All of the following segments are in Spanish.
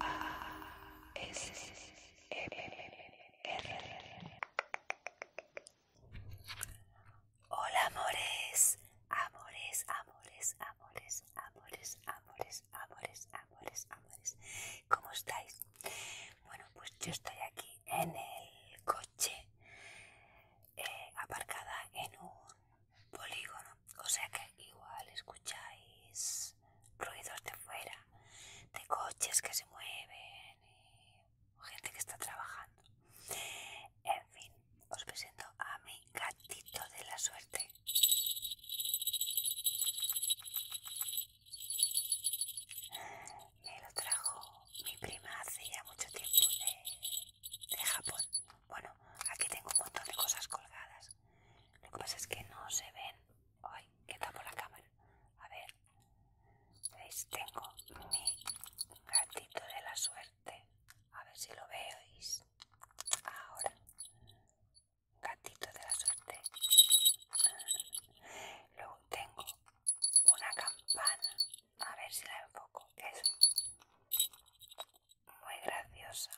Ah, Hola amores, amores, amores, amores, amores, amores, amores, amores, amores. ¿Cómo estáis? Bueno, pues yo estoy aquí en el coche eh, aparcada en un polígono. O sea que igual escucháis ruidos de fuera, de coches que se mueven gente que está trabajando. En fin, os presento a mi gatito de la suerte. Me lo trajo mi prima hace ya mucho tiempo de, de Japón. Bueno, aquí tengo un montón de cosas colgadas. Lo que pasa es que no se ven. Ay, que tapo la cámara. A ver. ¿Veis? Tengo mi gatito de la suerte. A ver si lo veis. Ahora. Gatito de la suerte. Luego tengo una campana, a ver si la enfoco, es muy graciosa,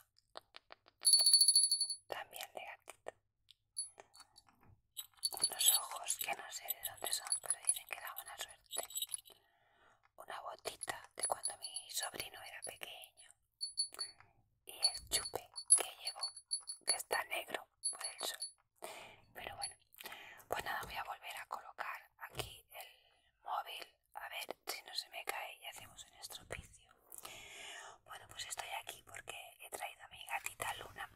también de gatito, unos ojos que no sé de dónde son, pero dicen que da buena suerte, una botita de cuando mi sobrino era pequeño y el chupe que llevo que está negro por el sol pero bueno, pues nada, voy a volver a colocar aquí el móvil. A ver si no se me cae y hacemos un estropicio. Bueno, pues estoy aquí porque he traído a mi gatita Luna.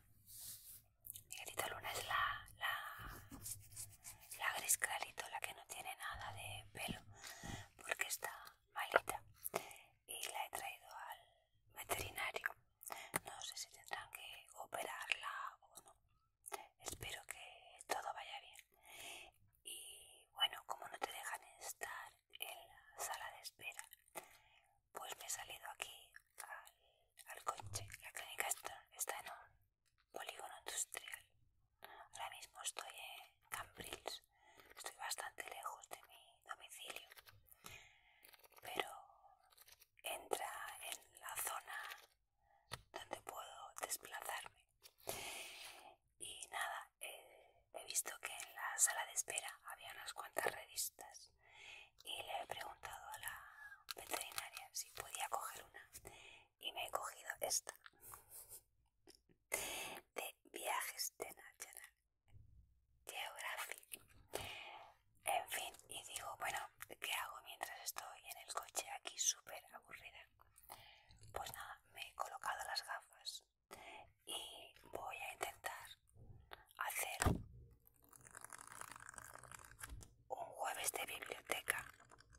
Mi gatita Luna es la, la, la gris clarito, la que no tiene nada de pelo porque está malita. Y la he traído al veterinario no sé si tendrán que operarla o no. Espero que todo vaya bien. Y bueno, como no te dejan estar en la sala de espera, pues me he salido aquí al, coche. La clínica está en un polígono industrial. Ahora mismo estoy en Cambrils. Estoy bastante lejos de mi domicilio. Pero entra en la zona donde puedo desplazarme y nada he visto que en la sala de espera había unas cuantas revistas y le he preguntado a la veterinaria si podía coger una y me he cogido esta de viajes de National geografía En fin, y digo, bueno, ¿qué hago mientras estoy en el coche aquí súper aburrida? Pues nada, me he colocado las gafas y voy a intentar hacer un jueves de biblioteca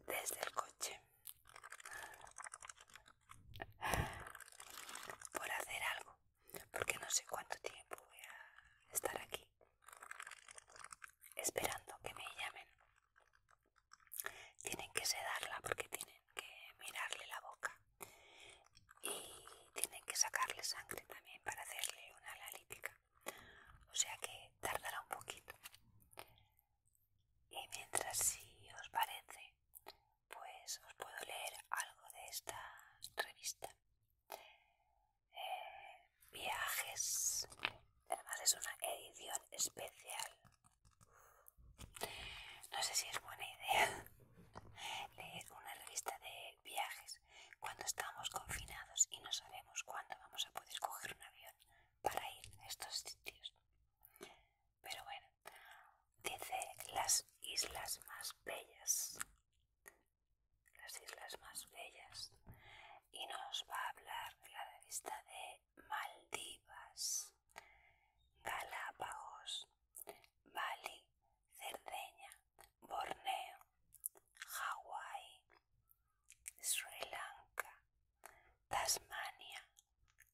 desde el coche. Por hacer algo porque no sé cuánto tiempo voy a estar aquí esperando que me llamen. Tienen que sedarla porque tienen que mirarle la boca y tienen que sacarle sangre también para hacerle una analítica. O sea que tardará un poquito. Y mientras si os parece, pues os puedo leer algo de esta revista viajes. Además es una edición especial. No sé si es buena idea leer una revista de viajes cuando estamos confinados y no sabemos cuándo vamos a poder coger un avión para ir a estos sitios. Pero bueno, dice las islas más bellas las islas más bellas, y nos va a hablar de la revista de Maldivas, Galápagos, Bali, Cerdeña, Borneo, Hawái, Sri Lanka, Tasmania,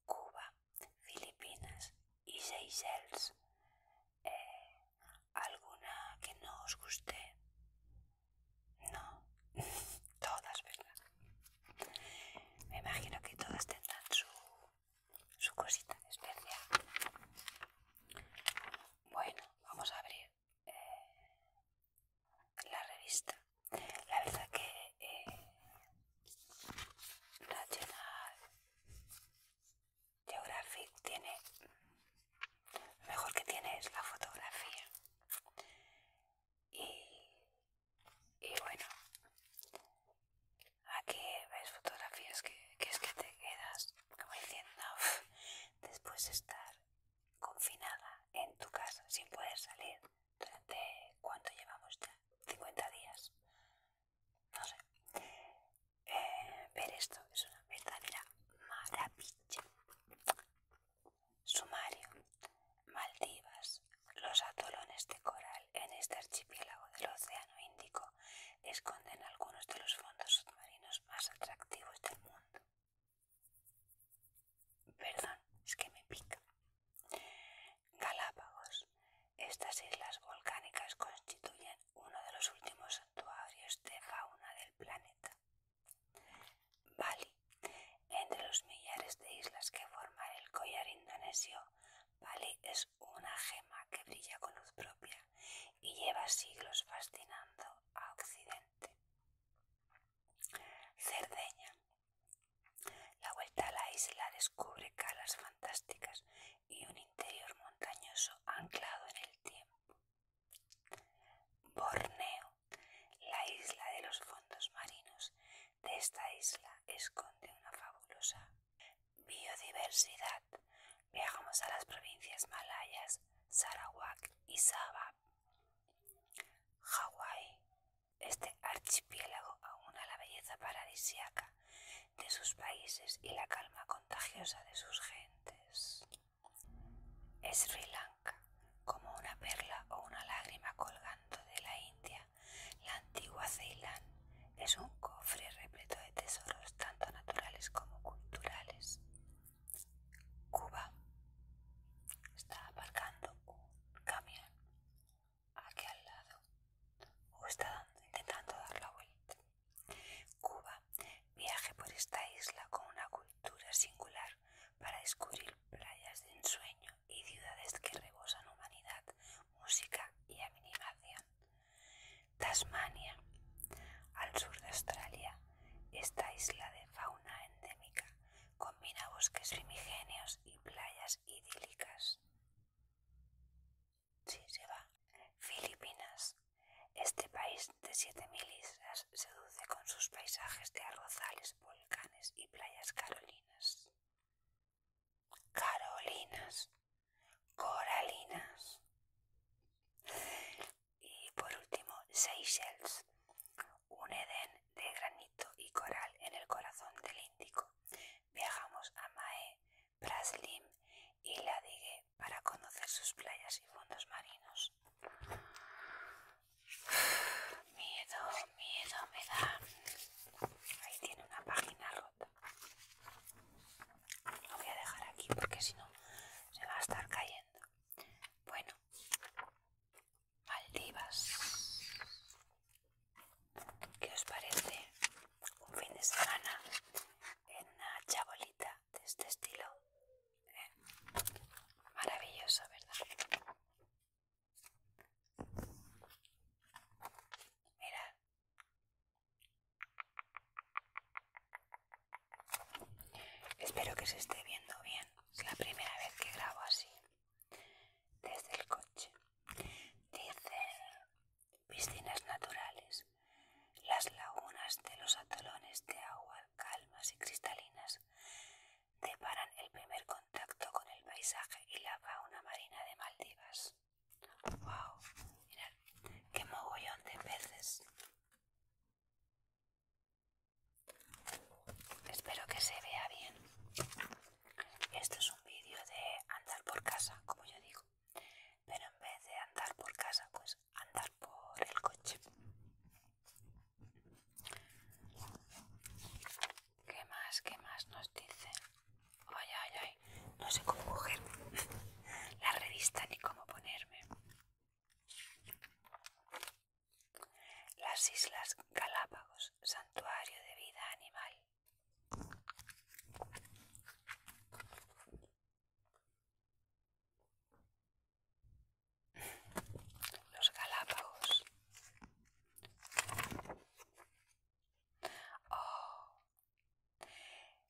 Cuba, Filipinas y Seychelles. ¿Alguna que no os guste? No, todas, ¿verdad? Me imagino que todas tendrán su, su cosita especial. Bueno, vamos a abrir eh, la revista. La verdad que eh, Geographic tiene lo mejor que tiene es la fotografía y, y bueno aquí ves fotografías que, que es que te quedas como diciendo después de estar confinada en tu casa sin poder salir durante cuánto llevamos ya 50 días no sé ver esto es una verdadera maravilla. Sumario. Maldivas. Los atolones de coral en este archipiélago del Océano Índico esconden algunos de los fondos submarinos más atractivos del mundo. Perdón, es que me pica. Galápagos. Estas islas volcánicas constituyen uno de los últimos santuarios de fauna del planeta. Bali. Entre los millares de islas que forman el collar indonesio, Bali es una gema que brilla con luz propia y lleva siglos fascinando a Occidente. Cerdeña. La vuelta a la isla descubre calas fantásticas y un interior montañoso anclado en el tiempo. Borneo. La isla de los fondos marinos de esta isla esconde una fabulosa biodiversidad. Viajamos a las provincias malayas, Sarawak y Sabah. Hawái. Este archipiélago aúna la belleza paradisiaca de sus países y la calma contagiosa de sus gentes. Sri Lanka, como una perla o una lágrima colgando de la India, la antigua Ceilán es un cofre repleto de tesoros tanto naturales como culturales. Cuba está aparcando un camión aquí al lado o está intentando dar la vuelta. Cuba. Viaje por esta isla con una cultura singular para descubrir playas de ensueño y ciudades que rebosan humanidad, música y animación. Tasmania. Al sur de Australia, esta isla de fauna endémica combina bosques primigenios y playas idílicas. Filipinas. Este país de 7.000 islas seduce con sus paisajes de arrozales, volcanes y playas carolinas. Carolinas. Coralinas. Y por último, Seychelles. Un edén de granito y coral en el corazón del Índico. Viajamos a Mae, Braslim y Ladigue para conocer sus playas y fondos marinos. Miedo, miedo me da. Ahí tiene una página rota. Lo voy a dejar aquí porque si no se va a estar cayendo. Bueno, Maldivas. ¿Qué os parece? Un fin de semana en una chabolita de este estilo Maravilloso, ¿verdad? Mira. Espero que se esté viendo bien. Es la primera vez que grabo así. Desde el coche. Dice piscinas naturales las lagunas de los atolones de agua calmas y cristalinas deparan el primer contacto con el paisaje y la fauna marina de Maldivas. ¡Wow! Mirad, qué mogollón de peces. Espero que se vea bien. Esto es un vídeo de andar por casa, como yo digo. Pero en vez de andar por casa, pues andar por el coche. ¿Qué más? ¿Qué más nos dicen? Ay, ay, ay. No sé cómo coger la revista ni cómo ponerme. Las Islas Galápagos, santuario de vida animal. Los Galápagos. Oh.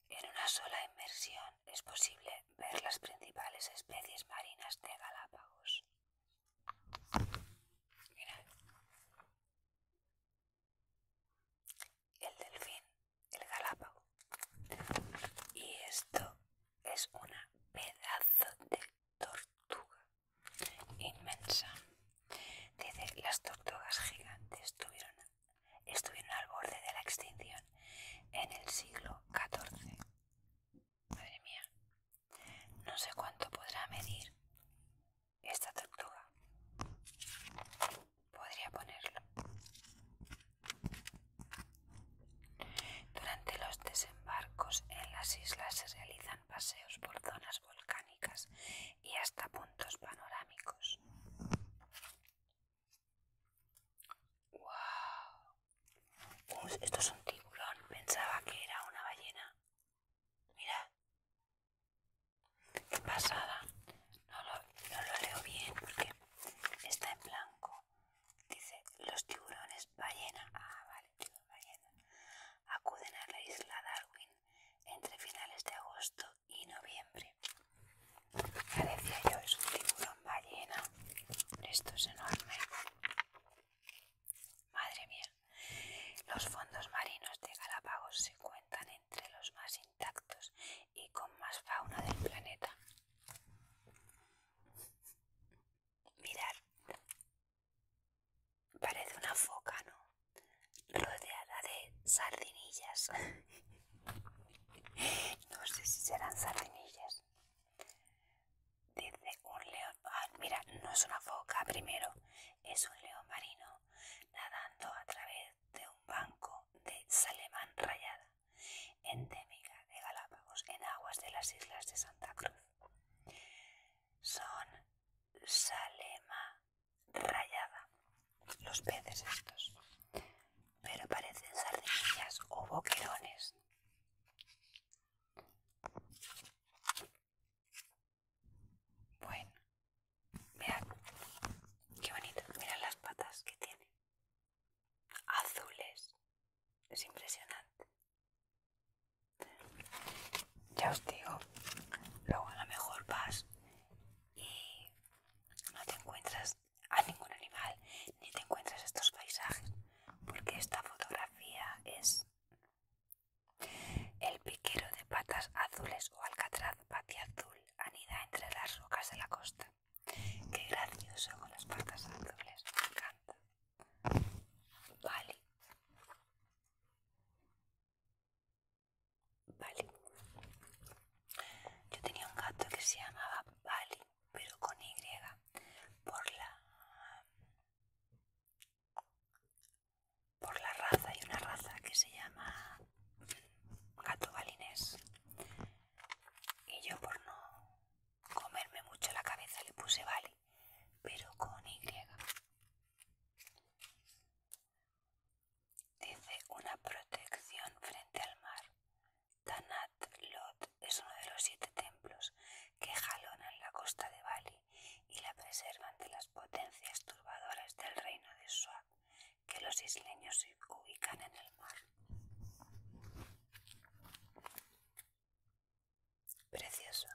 En una sola inmersión es posible ver las principales especies marinas de Galápagos. El delfín, el galápago. Y esto es una pedazo de tortuga inmensa. Dice, las tortugas gigantes estuvieron al borde de la extinción en el siglo XIV. Madre mía, no sé cuánto podrá medir esta tortuga. Podría ponerlo. Durante los desembarcos en las islas se realizan paseos por zonas volcánicas y hasta puntos panorámicos. ¡Wow! esto es un tiburón. Pensaba que era una ballena. Mira. ¡Qué pasada! No lo, no lo leo bien porque está en blanco. Dice, los tiburones ballena, ah, vale, ballena, acuden a la isla Darwin entre finales de agosto y noviembre. decía yo, es un tiburón ballena. Esto es enorme. Madre mía, los fondos marinos de Galápagos se cuentan entre los más intactos y con más fauna del planeta. Mirad, parece una foca, ¿no? Rodeada de sardinillas. no sé si serán sardinillas. Dice un león. Ah, mira, no es una foca primero, es un león marino nadando a través de un banco de salemán rayada endémica de Galápagos en aguas de las islas de Santa Cruz. Son salema rayada, los peces estos, pero parecen sardinillas o boquerones. Bueno, vean qué bonito, mirad las patas que tiene azules. Es impresionante. Ya os digo, luego a lo mejor vas y no te encuentras a ningún animal, ni te encuentras estos paisajes, porque esta fotografía es el piquero de patas azules o alcatraz patia azul anida entre las rocas de la costa. Qué gracioso con las patas azules, me encanta. Vale. Vale. Yo tenía un gato que se llamaba Bali, pero con Y, por la, por la raza. Hay una raza que se llama gato balinés. Y yo por no comerme mucho la cabeza le puse Bali, pero con Y. Dice una protección frente al mar. Tanat Lot es uno de los siete templos que jalonan la costa de Bali y la preservan de las potencias turbadoras del reino de Suak, que los isleños ubican en el mar. Precioso.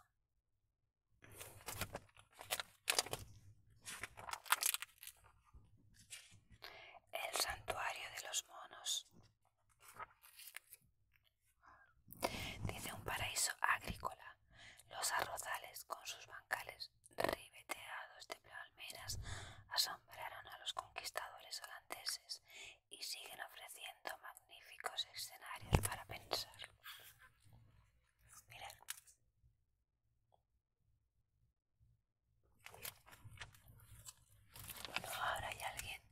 El santuario de los monos. Dice un paraíso agrícola. Los arrozales con sus bancales ribeteados de palmeras asombraron a los conquistadores holandeses y siguen ofreciendo magníficos escenarios para pensar. Bueno, ahora hay alguien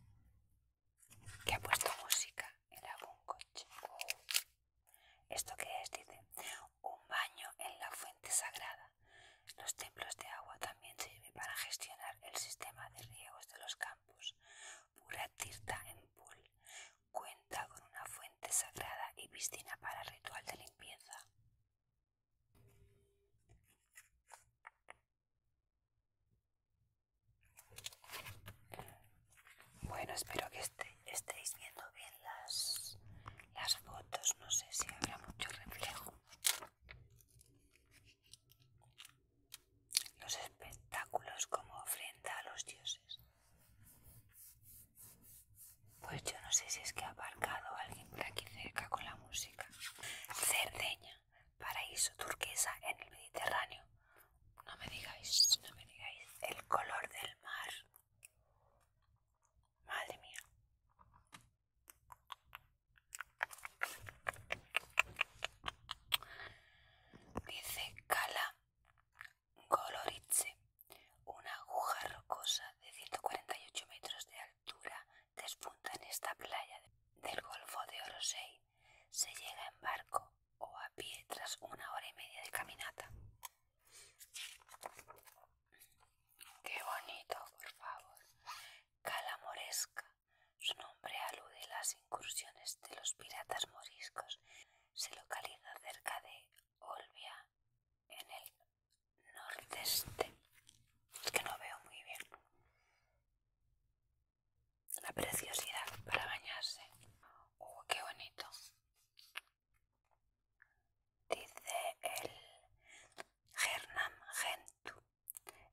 que ha puesto música en algún coche. Oh. ¿Esto qué es? Dice, un baño en la fuente sagrada. Los templos de agua también sirven para gestionar el sistema de riegos de los campos Pura Tirta en Pool cuenta con una fuente sagrada y piscina para ritual de limpieza. Bueno, espero que este, estéis viendo bien las, las fotos. No sé si habrá mucho reflejo los espectáculos como ofrenda a los dioses. Pues yo no sé si es que ha aparcado alguien por aquí cerca con la música. Cerdeña, paraíso turquesa en el Mediterráneo. No me digáis, no me digáis el color del mar. Madre mía. Dice Cala Golorice. una aguja rocosa de 148 metros de altura despunta en esta playa del Golfo de Orosei. Se llega en barco o a pie tras una hora y media de caminata. Qué bonito, por favor. Cala Moresca su nombre alude a las incursiones de los piratas moriscos. Se localiza cerca de Olbia, en el nordeste. Es que no veo muy bien. La preciosidad para bañarse. ¡Uh, qué bonito! Dice el Hernán Gentu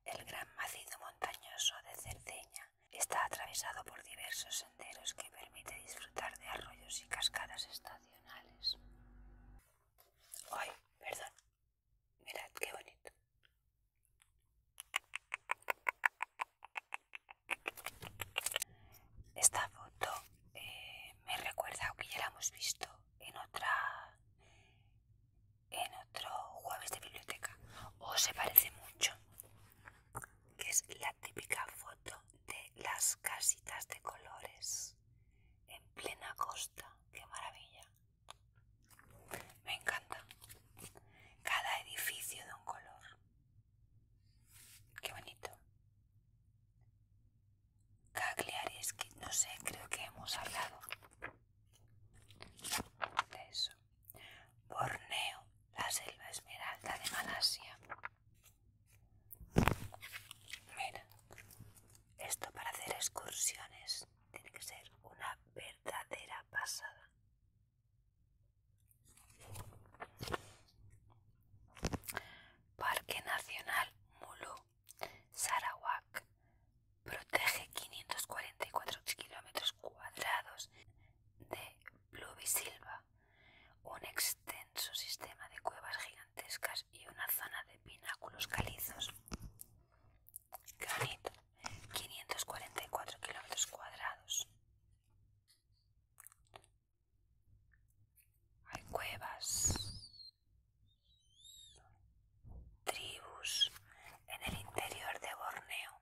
el gran macizo montañoso de Cerdeña está atravesado por diversos senderos que permite disfrutar de arroyos y cascadas estacionales. Ay, perdón. Mirad qué bonito. Esta foto eh, me recuerda aunque ya la hemos visto en otra en otro jueves de biblioteca o se parece mucho que es la típica foto de las casitas de colores en plena costa qué maravilla me encanta cada edificio de un color qué bonito Cagliari, que no sé, creo que hemos hablado de eso. Borneo, la selva esmeralda de Malasia. Mira, esto para hacer excursiones tiene que ser una verdadera pasada. Parque Nacional Mulu, Sarawak, Protege 544 kilómetros cuadrados de pluvisilva, un extenso sistema de cuevas gigantescas y una zona de pináculos calizos. Granito, 544 kilómetros cuadrados. Hay cuevas, tribus en el interior de Borneo.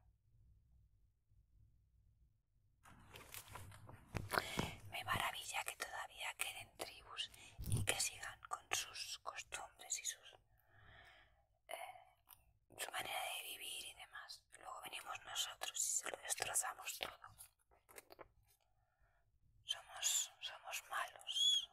Me maravilla que todavía queden tribus y que sigan con sus costumbres y sus, eh, su manera de vivir y demás. Luego venimos nosotros y se lo destrozamos todo. Somos, somos malos.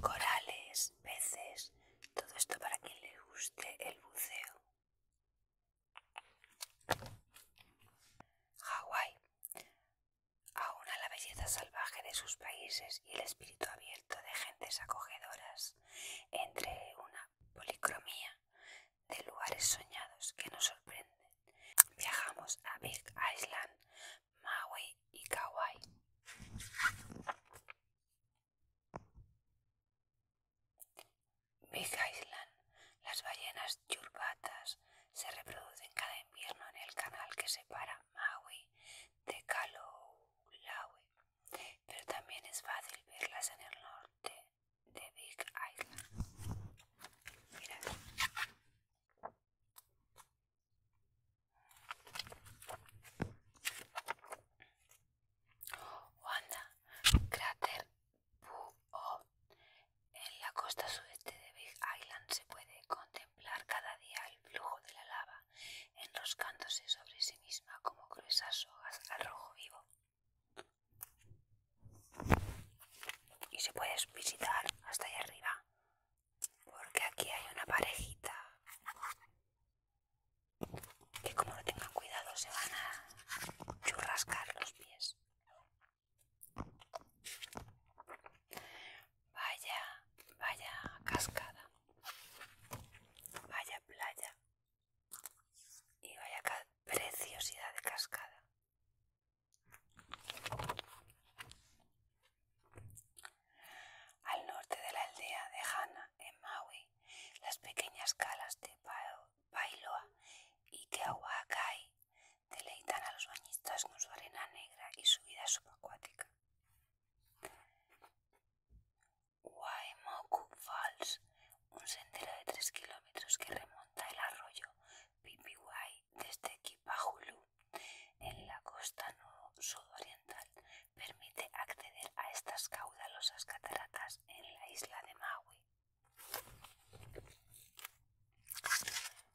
Corales, peces, todo esto para quien le guste el buceo. Hawái. Aúna la belleza salvaje de sus países y el espíritu abierto de gentes acogedoras entre una policromía de lugares soñados que nos sorprenden. Viajamos a Big Island Maui y Kauai. Big Island. Las ballenas yurbatas se reproducen cada invierno en el canal que separa Maui de Kauai, pero también es fácil verlas en el norte de Big Island. Wanda, cráter En la costa sudeste de Big Island se puede contemplar cada día el flujo de la lava, enroscándose sobre sí misma como gruesas hojas al rojo vivo. Y se puede visitar hasta allá arriba porque aquí hay una parejita que como no tengan cuidado se van a churrascar los pies. Vaya, vaya cascada. Vaya playa. Y vaya preciosidad de cascada. Al norte de la aldea de Hana, en Maui, las pequeñas calas de Pailoa y Teahuacay deleitan a los bañistas con su arena negra y su vida subacuática. Waimoku Falls, un sendero de 3 kilómetros que remonta el arroyo Pipiwai desde Kipahulu en la costa sudoriental permite acceder a estas caudalosas cataratas en la isla de Maui.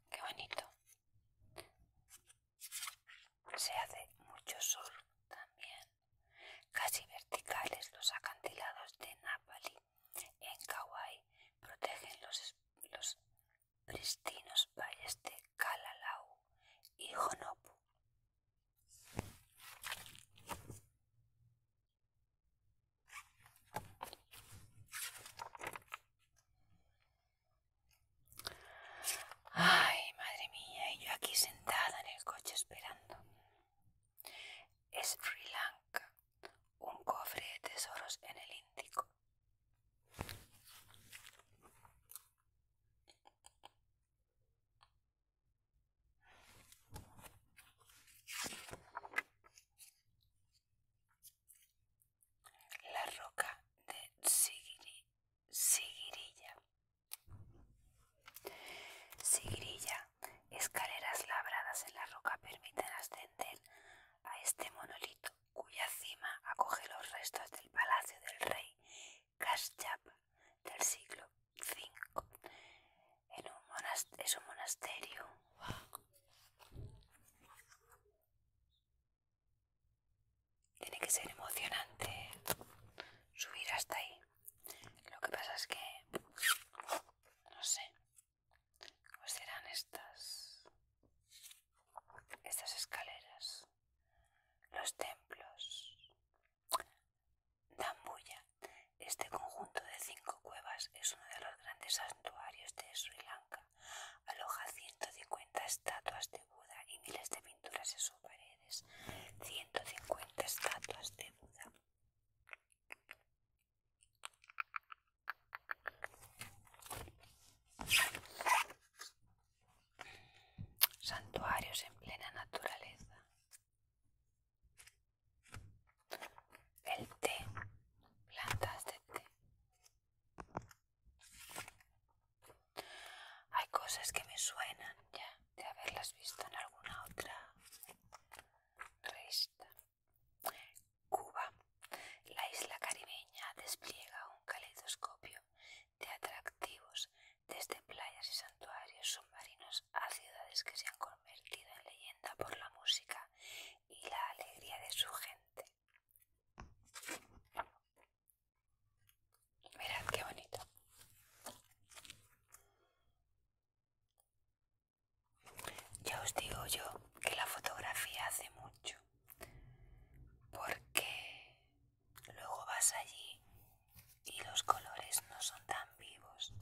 Qué bonito. Se hace mucho sol también. Casi verticales los acantilados de Napali en Kauai protegen los pristinos valles de Kalalau y Honopu. Ay, madre mía, y yo aquí sentada en el coche esperando. Es Sri Lanka, un cofre de tesoros en el Índico. La roca de Sigirilla. escaleras labradas en la roca permiten ascender a este monolito cuya cima acoge los restos del palacio del rey Kashyap del siglo V. es un monasterio. Tiene que ser emocionante subir hasta ahí. Lo que pasa es que, no sé, ¿cómo serán estas, estas escaleras? Los templos. Dambuya. Este conjunto de cinco cuevas es uno de los grandes santuarios de Sri Lanka. Aloja 150 estatuas de Buda y miles de pinturas en sus paredes. 150 estatuas de Buda santuarios en plena naturaleza. El té, plantas de té. Hay cosas que me suenan ya de haberlas visto en alguna otra revista. Cuba, la isla caribeña, despliega un caleidoscopio de atractivos, desde playas y santuarios submarinos a ciudades que se han convertido en leyenda por la música y la alegría de su gente. Mirad qué bonito. Ya os digo yo que la fotografía hace mucho, porque Luego vas allí y los colores no son tan vivos.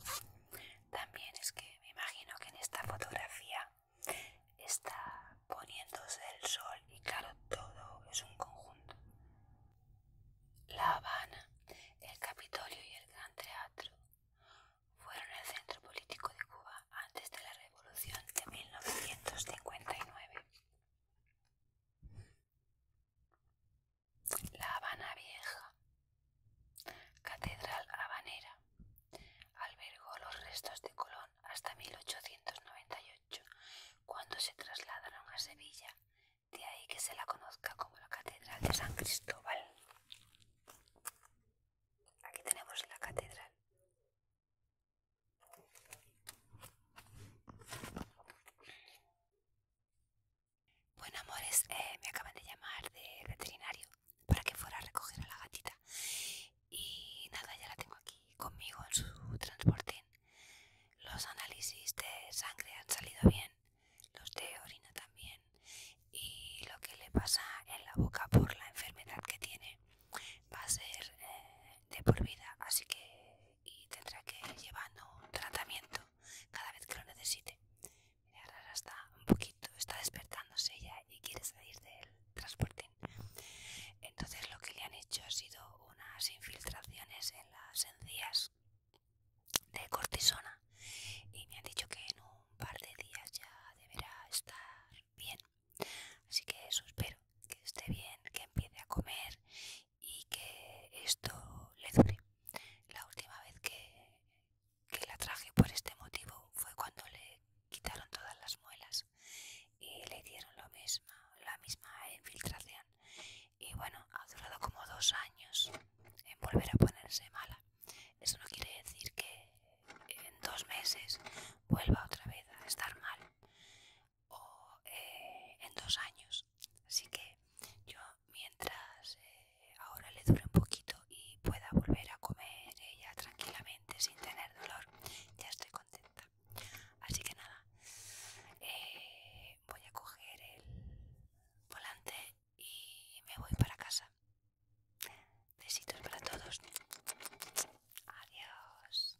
También es que me imagino que en esta fotografía está poniéndose el sol y claro, todo es un conjunto. La Habana, el Capitolio y el Gran Teatro fueron el centro político de Cuba antes de la Revolución de 1959. La Habana Vieja, Catedral Habanera, albergó los restos de Colón hasta 1898, cuando se trasladaron a Sevilla, de ahí que se la conozca como la Catedral de San Cristóbal. Aquí tenemos la catedral. Bueno, amores, eh, me acaban de llamar de veterinario para que fuera a recoger a la gatita. Y nada, ya la tengo aquí conmigo en su transportín. Los análisis de sangre han salido bien, los de orina también. Y lo que le pasa en la boca por la enfermedad que tiene va a ser eh, de por vida. Así que y tendrá que ir llevando un tratamiento cada vez que lo necesite. Ahora está un poquito, está despertándose ya y quiere salir del transportín. Entonces lo que le han hecho ha sido unas infiltraciones en las encías de cortisona y me han dicho que en un par de días ya deberá estar bien. Así que eso espero, que esté bien, que empiece a comer y que esto le dure. La última vez que, que la traje por este motivo fue cuando le quitaron todas las muelas y le dieron lo misma la misma infiltración. Y bueno, ha durado como dos años en volver a ponerse mala. Eso no quiere decir que en dos meses vuelva otra vez a estar mal o eh, en dos años. Así que yo mientras eh, ahora le dure un poquito y pueda volver a comer ella tranquilamente sin tener dolor, ya estoy contenta. Así que nada, eh, voy a coger el volante y me voy para casa. Besitos para todos. Adiós.